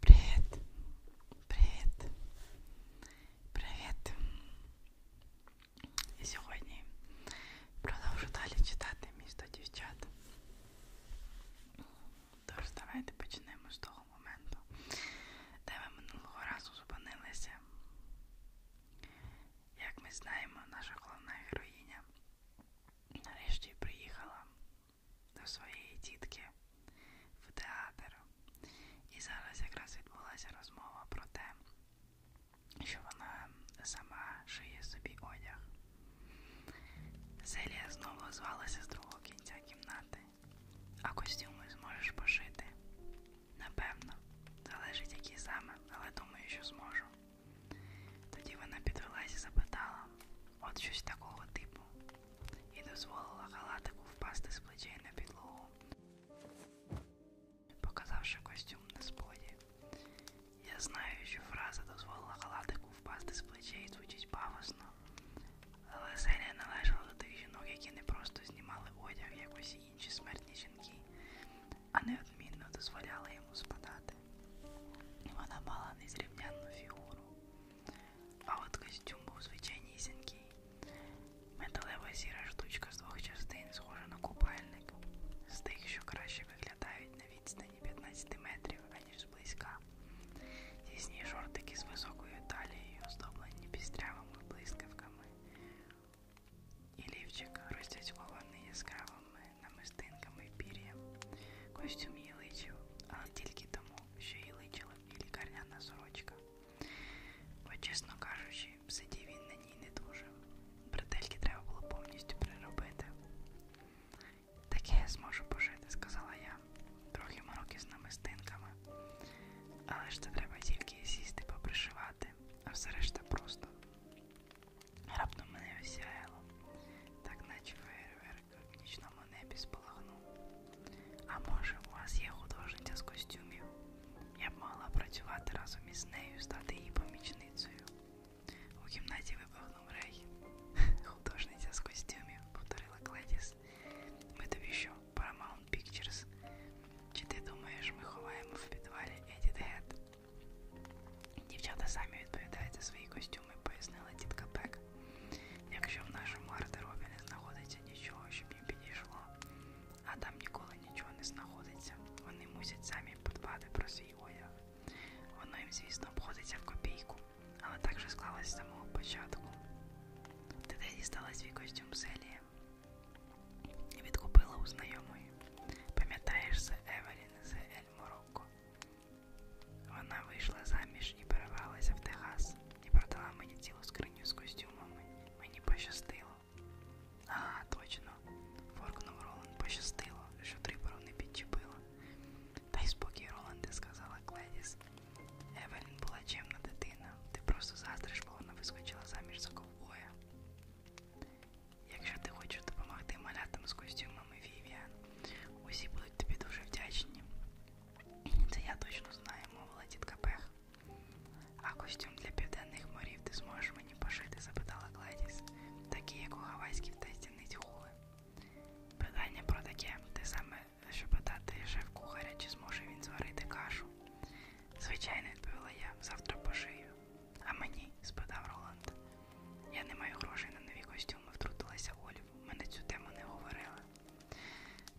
Привіт. Привіт. Привіт. І сьогодні продовжу далі читати місто дівчат. Тож, давайте почнемо з того моменту, де ми минулого разу зупинилися. Як ми знаємо, наша головна героїня нарешті приїхала до своєї тітки в театр. І зараз якраз відбулася розмова про те, що вона сама шиє собі одяг. Селія знову звалася з другого кінця кімнати, а костюми зможеш пошити. Напевно, залежить які саме, але думаю, що зможу. Тоді вона підвелась і запитала: от щось такого типу, і дозволила халатику впасти з плечей на підлогу, показавши костюм на споді. Я знаю, що фраза дозволила халатику впасти з плечей звучить пафосно, але серія належала до тих жінок, які не просто знімали одяг, як усі інші смертні жінки, а неодмінно дозволяли йому спадати. Вона мала незрівнянну фігуру. А от костюм був звичайнісінький. Металева сіра штучка з двох частин, схожа на купальник, з тих, що краще виглядають на відстані 15 метрів, аніж зблизька. Тісні шортики з високою талією, оздоблені пістрявими блискавками. І лівчик розтяцькований яскравими намистинками і пір'ям. Костюм їй личив, але тільки тому, що їй личила і лікарняна сорочка. Бо, чесно кажучи, сидів він на ній не дуже. Бретельки треба було повністю переробити. Таке я зможу пожити, сказала я. Трохи мороки з намистинками. Але ж це треба тільки сісти, попришивати, а все решта просто. Раптом мене осяяло, так наче фейерверк в нічному небі спалахнув. А може, у вас є художниця з костюмів? Я б могла працювати разом із нею, стати її помічницею. У кімнаті вибухнув рей. Художниця з костюмів, повторила Кледіс. Ми тобі що, Paramount Pictures? Чи ти думаєш, ми ховаємо в підвалі Едіт Гет? Дівчата самі відповідають за свої костюми, пояснила тітка Пек. Якщо в нашому гардеробі не знаходиться нічого, щоб їм підійшло, а там ніколи нічого не знаходиться, вони мусять самі подбати про свій одяг. Воно їм, звісно, обходиться в копійку, але так же склалось з самого початку. Ти де дістала свій костюм Селія? Відкупила у знайомої. Пам'ятаєш, це Евелін з Ель Морокко. Вона вийшла заміж і перевелася в Техас і продала мені цілу скриню з костюмами. Мені пощастило. А, точно, форкнув Роланд, пощастило, що трибору не підчепило. Та й спокій, Роланде, сказала Кледіс. Евелін була чемна дитина. Ти просто заздриш, бо вона вискочила заміж за ковбоя. Якщо ти хочеш допомогти малятам з костюмами Вівіан, усі будуть тобі дуже вдячні. Це я точно знаю, мовила тітка Пех. А костюм для південних морів ти зможеш мені пошити? запитала Гладіс, такі, як у гавайській стіниць хули. Питання про таке, те саме, що питати шеф кухаря, чи зможе він зварити кашу. Звичайно, відповіла я, завтра пошию. А мені? спитав Роланд. Я не маю грошей на нові костюми, втрутилася Олів. Ми на цю тему не говорили.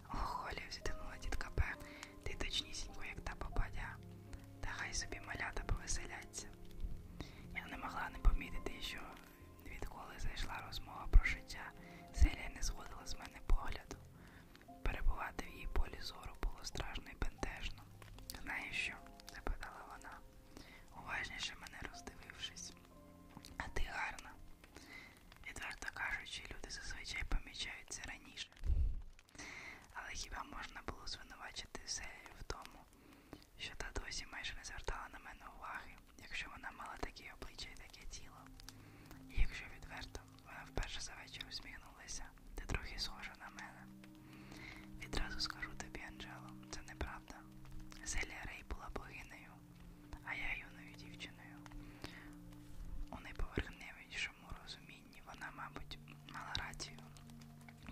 Ох, Олів, зітхнула тітка П. Ти точнісінько, як та попадя. Та хай собі малята повеселяться. Я не могла не помітити, що відколи зайшла розмова про життя, Селія не зводила з мене погляду. Перебувати в її полі зору було страшно і бентежно. Знаєш що? запитала вона, уважніше мене роздивившись. А ти гарна. Відверто кажучи, люди зазвичай помічаються раніше. Але хіба можна було звинувачити Селію в тому, що та досі майже не звертала на мене уваги, якщо вона мала таке обличчя і таке тіло? І якщо відверто, вона вперше за вечір усміхнулася ти трохи схожа на мене. Відразу скажу тобі, Анджело, це неправда. Зелія Рей була богинею, а я юною дівчиною. У неповерхневішому розумінні вона, мабуть, мала рацію.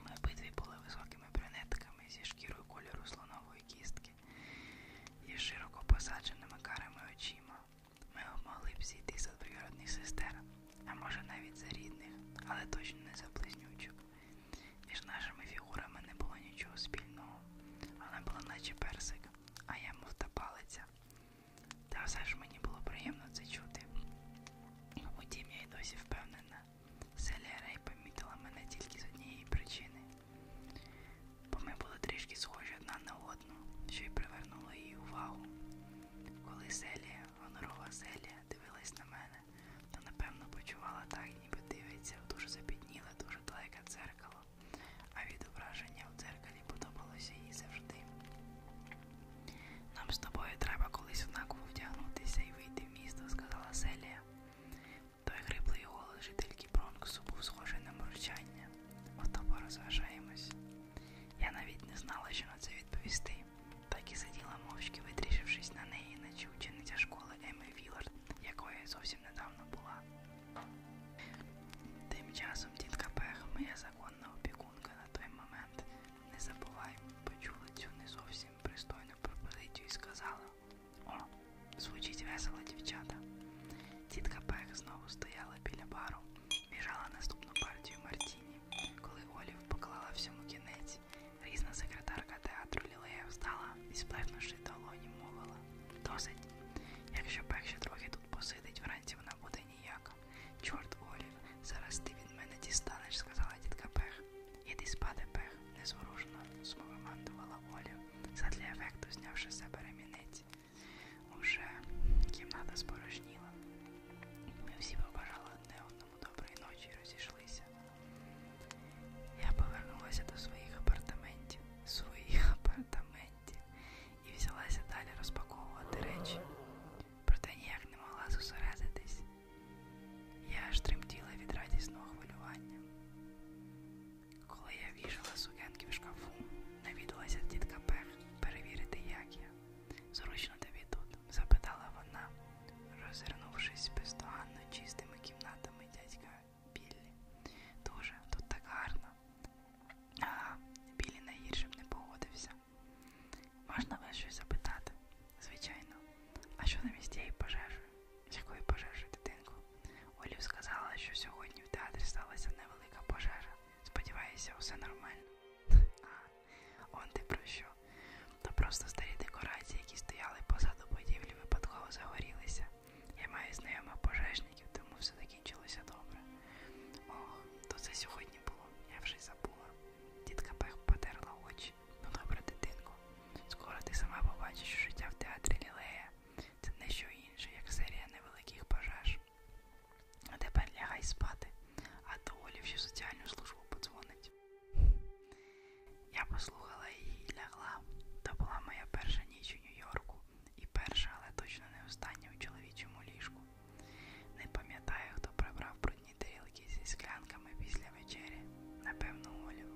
Ми обидві були високими брюнетками зі шкірою кольору слонової кістки і широко посадженими карими очима. Ми могли б зійти за двоюродних сестер, а може навіть за рідних, але точно не за близнючок. Між нашими фігурами не було нічого спільного. Вона була наче персик, а я мов та палиця. Та все ж мені було приємно це чути. Утім, я й досі впевнена, Селія Рей помітила мене тільки з однієї причини, бо ми були трішки схожі одна на одну, що й привернуло її увагу. Коли Селія Гонорова Селія дивилась на мене та, напевно, почувала так, ніби дивиться в дуже запітніле, дуже далеке дзеркало, а відображення в дзеркалі подобалося їй завжди. Нам з тобою треба колись однаково вдягнутися і вийти в місто, сказала Селія. Той хриплий голос жительки Бронксу був схожий на мурчання. Ми з тобою розважаємось. Я навіть не знала, що на це відповісти, так і сиділа мовчки, витрішившись на неї, наче учениця школи Еми Вілард, якою я зовсім недавно була. Тим часом тітка Пех, моя законна опікунка на той момент, не забувай, почула цю не зовсім пристойну пропозицію і сказала: О, звучить весело, дівчата. Тітка Пех знову стояла біля бару. Біжала наступну партію Мартіні. Коли Олів поклала всьому кінець, різна секретарка театру Лілея встала і, сплеснувши долоні, мовила Досить. Якщо пек ще трохи тут посидить, вранці вона буде ніяка. Чорт Олів, зараз ти від мене дістанеш, сказала дітка Пех. Іди спати, пех, незворушно, смовимандувала Олів, задля ефекту знявши себе ремінець. Уже кімната спорожніла. Ми всі побажали одне одному доброї ночі і розійшлися. Я повернулася до своїх апартаментів, своїх апартаментів і взялася далі розпаковувати речі, проте ніяк не могла зосередитись. Я аж тремтіла від радісного хвилювання. Коли я вішала сукенки в шкафу, навідалася тітка Пех перевірити, як я. Зручно тобі тут? запитала вона, розвернувшись бездоганно чистими кімнатами дядька Біллі. Дуже, тут так гарно. Ага, Біллі найгіршим не погодився. Можна вас щось запитати? Звичайно. А що замість тієї пожежі? З якої пожежі, дитинку? Олів сказала, що сьогодні в театрі сталася невелика пожежа. Сподіваюся, усе нормально. А, он ти про що? То просто старі декорації, які стояли позаду будівлі, випадково загорілися. Я маю знайомих пожежників, тому все закінчилося добре. Ох, то це сьогодні було, я вже й забула. Тітка Пех потерла очі. Ну добре, дитинку. Скоро ти сама побачиш, що життя в театрі Лілея це не що інше, як серія невеликих пожеж. А тепер лягай спати, а то Олівші в соціальну службу подзвонить. Я послухала її і лягла. То була моя перша ніч у Нью-Йорку і перша, але точно не остання у чоловічому ліжку. Не пам'ятаю, хто прибрав брудні тарілки зі склянками після вечері. Напевно, Олів.